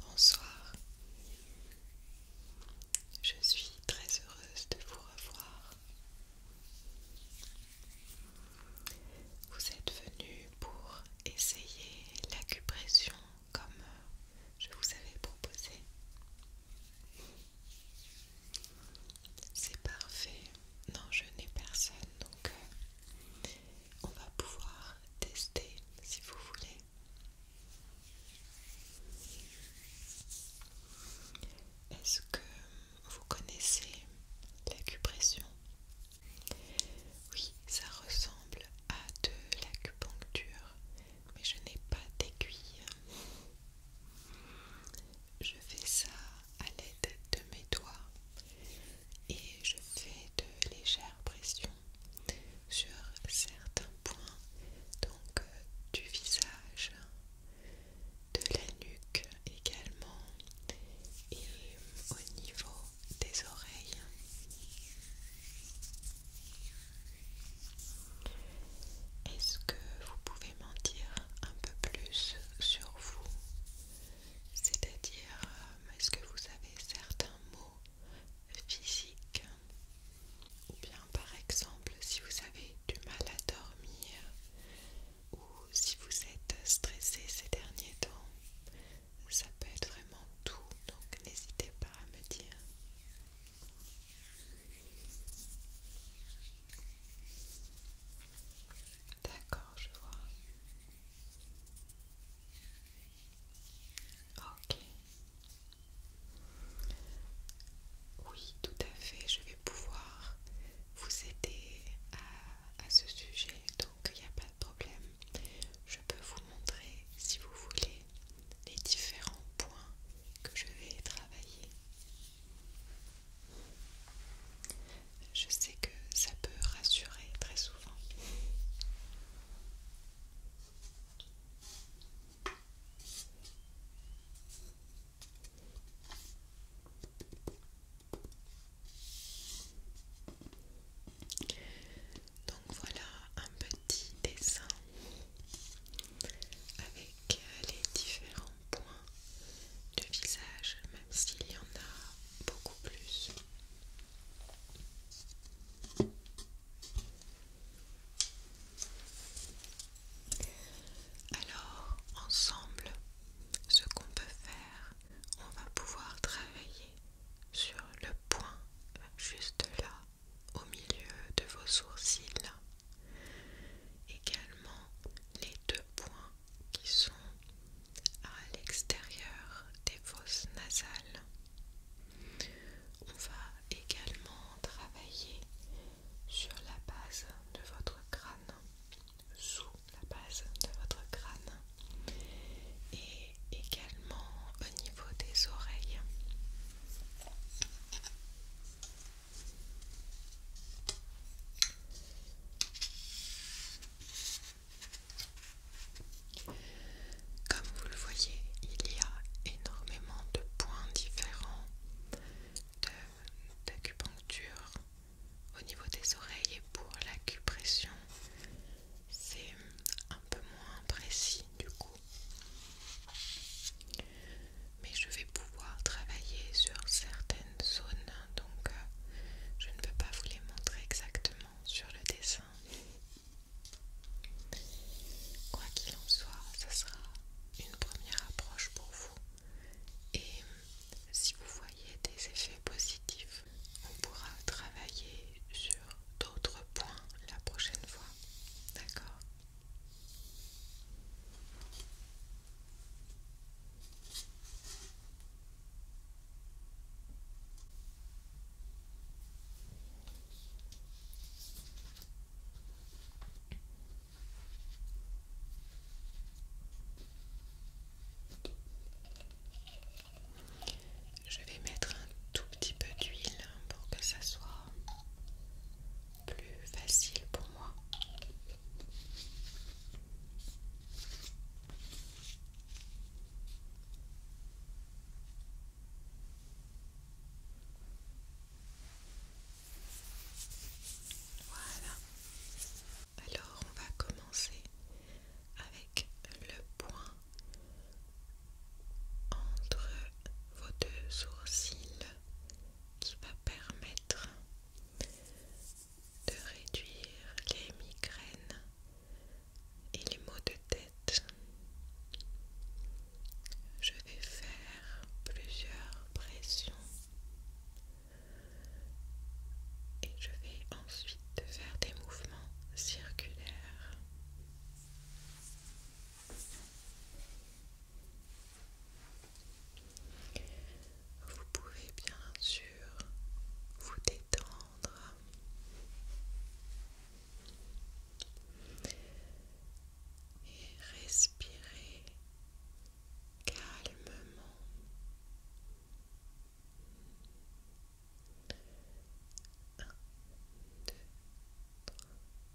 Bonsoir, je suis très heureuse de vous revoir. Vous êtes venu pour essayer l'acupression comme je vous avais proposé. C'est parfait non je n'ai personne donc euh, on va pouvoir tester si vous voulez est-ce que vous connaissez l'acupression oui ça ressemble à de l'acupuncture mais je n'ai pas d'aiguille je fais ça à l'aide de mes doigts et je fais de légères pressions sur certains points donc euh, du visage, de la nuque également et au niveau des oreilles. Est-ce que vous pouvez m'en dire un peu plus sur vous c'est-à-dire euh, est-ce que vous avez certains maux physiques ou bien par exemple si vous avez du mal à dormir ou si vous êtes stressé ces derniers temps, ça peut être vraiment tout, donc n'hésitez pas à me dire. D'accord, je vois. Ok. Oui, tout à fait, je vais pouvoir vous aider à, ce sujet, donc il n'y a pas de problème. Je peux vous montrer, si vous voulez, les différents points que je vais travailler. Je sais que ça peut rassurer très souvent. Donc voilà un petit dessin avec les différents Point de visage, même s'il y en a beaucoup plus. Alors, ensemble, ce qu'on peut faire, on va pouvoir travailler sur le point juste là, au milieu de vos sourcils. Également les deux points qui sont à l'extérieur des fosses nasales. On va également travailler sur la base de votre crâne, sous la base de votre crâne et également au niveau des oreilles. Comme vous le voyez, il y a énormément de points différents d'acupuncture au niveau des oreilles et pour l'acupression, c'est un peu moins précis du coup mais je vais pouvoir travailler sur certaines zones hein, donc euh, je ne peux pas vous les montrer exactement sur le dessin quoi qu'il en soit ça sera une première approche pour vous et si vous voyez des effets positifs on pourra travailler sur d'autres points la prochaine fois d'accord je vais mettre un tout petit peu d'huile pour que ça soit plus facile pour moi. Voilà. Alors on va commencer avec le point entre vos deux sourcils qui va permettre de réduire les migraines et les maux de tête. Je vais faire plusieurs pressions et je vais ensuite faire des mouvements circulaires. Vous pouvez bien sûr vous détendre. Et respirer calmement.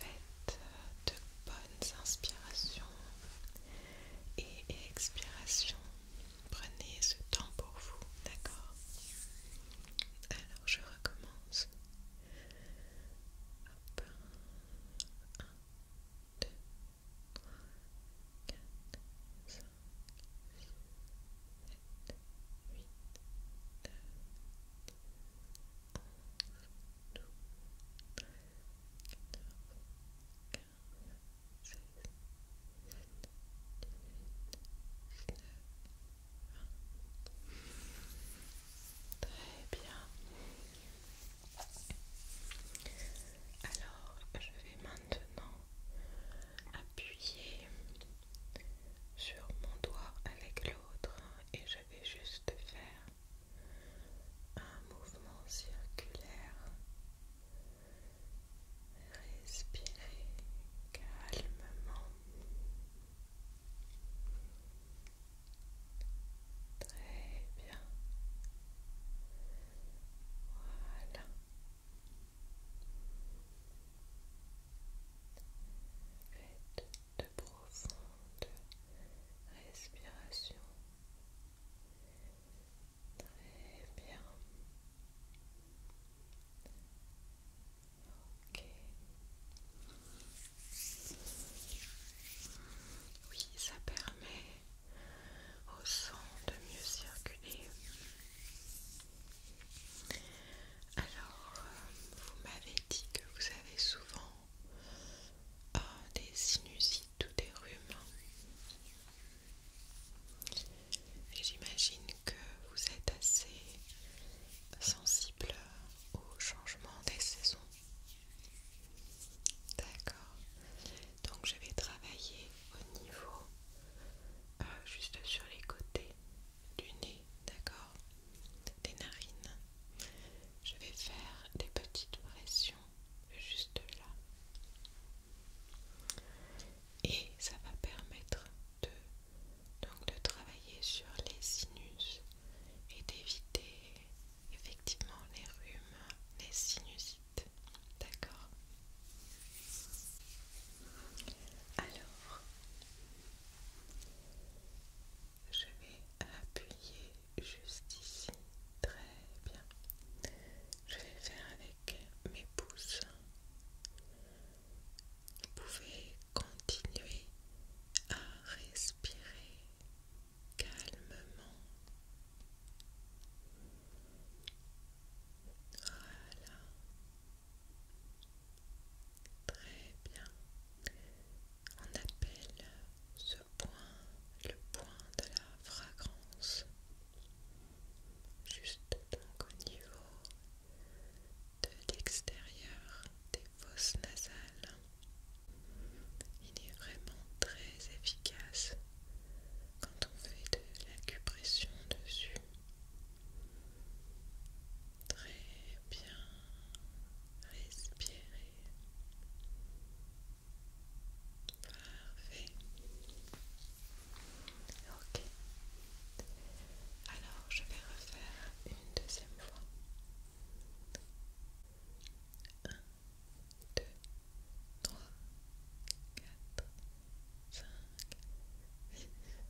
Faites euh, de bonnes inspirations et expirations. Prenez ce temps pour vous, d'accord Alors je recommence. 2, Très bien. Alors, je vais maintenant appuyer sur mon doigt avec l'autre et je vais juste faire un mouvement circulaire. Respirez calmement. Très bien. Voilà de profonde respiration. Très bien. Ok. Oui, ça permet au sang de mieux circuler. Alors, vous m'avez dit que vous avez souvent euh, des sinusites ou des rhumes. Et j'imagine que vous êtes assez sensible au changement des saisons. D'accord. Donc je vais travailler au niveau euh, juste sur les côtés du nez, d'accord des narines. Je vais faire des petites pressions juste là. Et ça va permettre de, donc de travailler sur les sinus et d'éviter effectivement les rhumes, les sinusites. D'accord Alors, je vais appuyer juste ici. Très bien. Je vais faire avec mes pouces. Vous pouvez continuer à respirer calmement. Voilà. Très bien. On appelle ce point le point de la fragrance. Juste donc au niveau de l'extérieur des fosses nasales. Il est vraiment très efficace quand on fait de l'acupression dessus. Très bien. Respirez. Parfait. Ok. Alors, je vais refaire une deuxième fois. 1, 2, trois, quatre, cinq.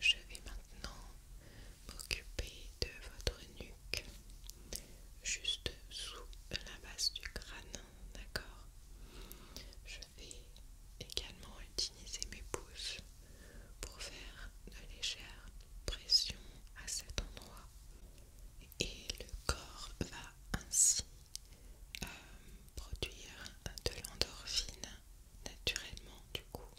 je vais maintenant m'occuper de votre nuque, juste sous la base du crâne, d'accord Je vais également utiliser mes pouces pour faire de légères pressions à cet endroit et le corps va ainsi euh, produire de l'endorphine naturellement du coup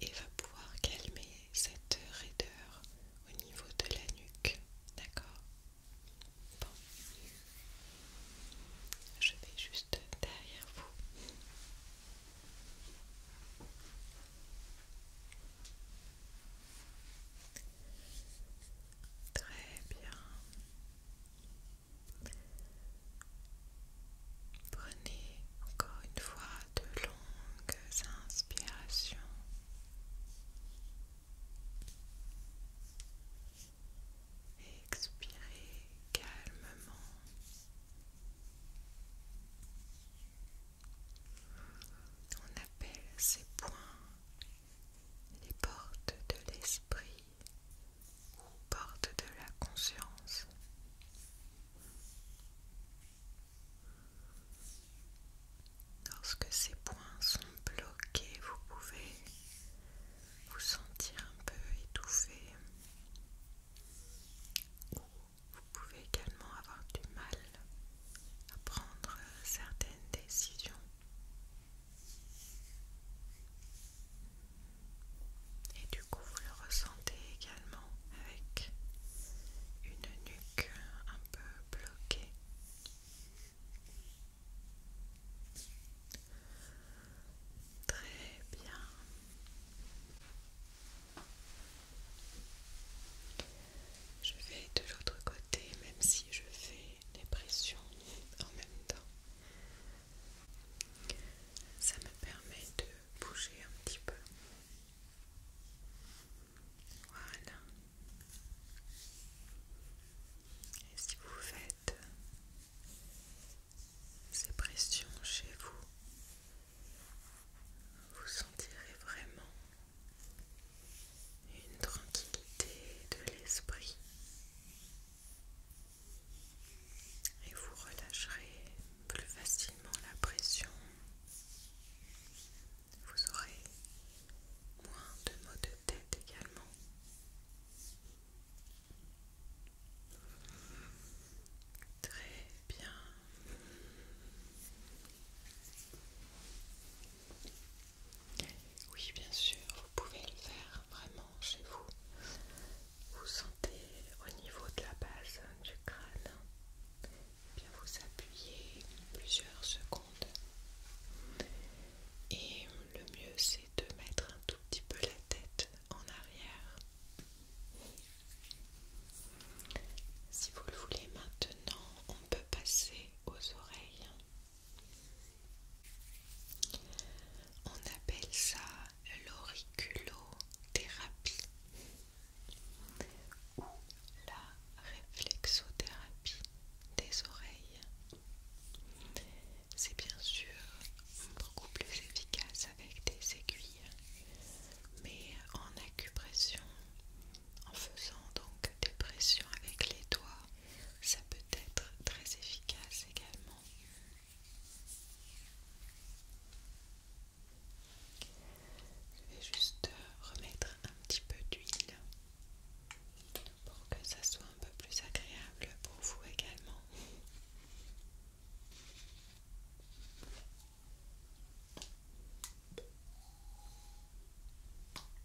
et va pouvoir calmer cette raideur au niveau de la nuque. D'accord Bon. Je vais juste derrière vous. Très bien. Prenez encore une fois de longues inspirations. Expirez calmement. On appelle ces points les portes de l'esprit ou porte de la conscience. Lorsque ces points sont bloqués, vous pouvez vous sentir un peu étouffé. Ou vous pouvez également avoir du mal à prendre certaines décisions. Et du coup, vous le ressentez également avec une nuque un peu bloquée. Très bien. Je vais de l'autre côté, même si je fais les pressions en même temps. Ça me permet de bouger un petit peu. Voilà. Et si vous faites ces pressions chez vous, vous sentirez vraiment une tranquillité de l'esprit et vous relâcherez plus facilement la pression. Vous aurez moins de maux de tête également. Très bien. Oui, bien sûr, vous pouvez le faire vraiment chez vous. Vous sentez au niveau de la base du crâne, eh bien vous appuyez plusieurs secondes. Et le mieux, c'est de mettre un tout petit peu la tête en arrière. Si vous le voulez maintenant, on peut passer aux oreilles. On appelle ça l'auriculothérapie ou la réflexothérapie des oreilles. C'est bien sûr beaucoup plus efficace avec des aiguilles, mais en acupression, en faisant donc des pressions avec les doigts ah, ça peut être très efficace également. Je vais juste remettre un petit peu d'huile pour que ça soit un peu plus agréable pour vous également.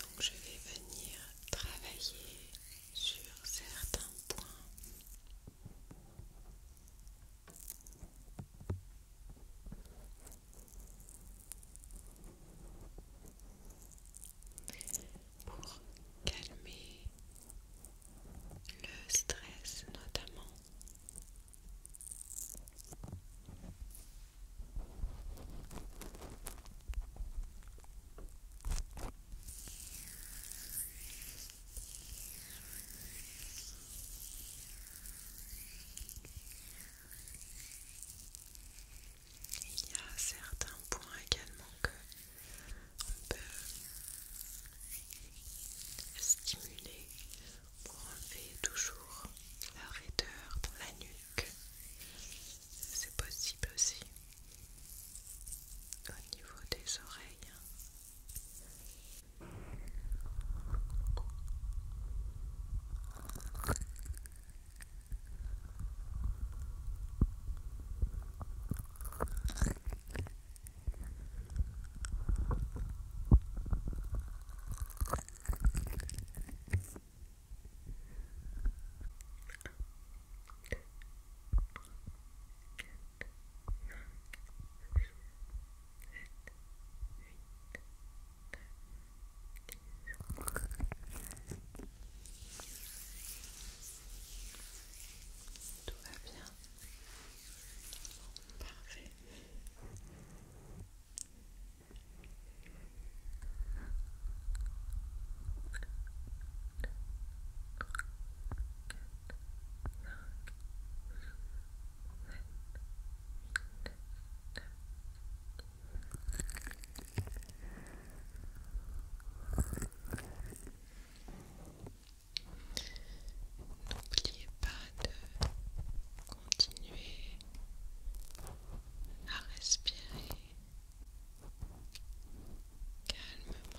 Donc je vais venir travailler sur certains points. Pour calmer le stress notamment. Il y a certains points également que on peut stimuler pour enlever toujours la raideur dans la nuque c'est possible aussi au niveau des oreilles. Tout va bien. Parfait. N'oubliez pas de Continuez à respirer calmement.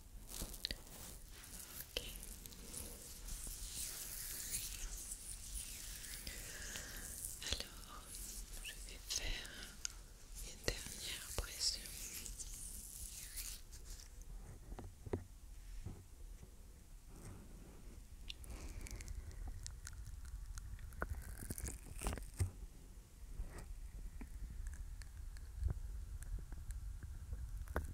Alors, je vais faire une dernière pression.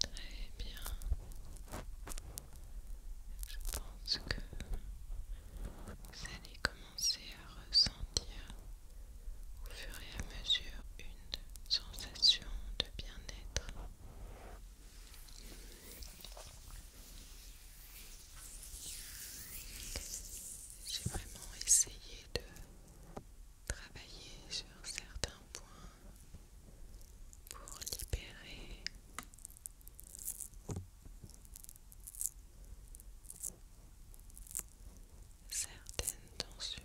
Très bien. Je pense que vous allez commencer à ressentir au fur et à mesure une sensation de bien-être. J'ai vraiment essayé de travailler sur certains points pour libérer certaines tensions.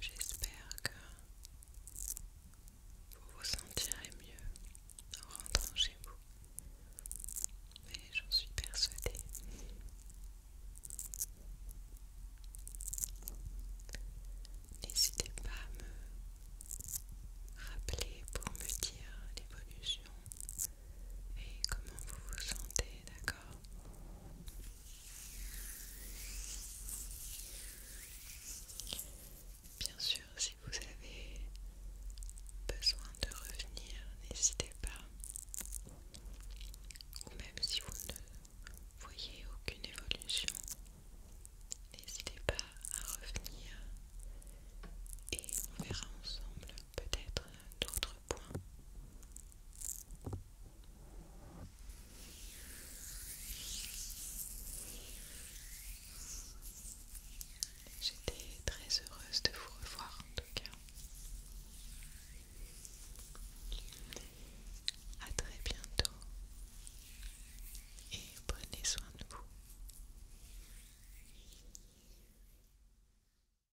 J'espère que vous vous sentirez mieux en rentrant chez vous. Mais j'en suis persuadée. N'hésitez pas à me rappeler pour me dire l'évolution et comment vous vous sentez, d'accord Bien sûr, si vous avez besoin de revenir, n'hésitez pas. Ou même si vous ne voyez aucune évolution, n'hésitez pas à revenir et on verra ensemble peut-être d'autres points. J'étais très heureuse de vous revoir en tout cas. À très bientôt et prenez soin de vous.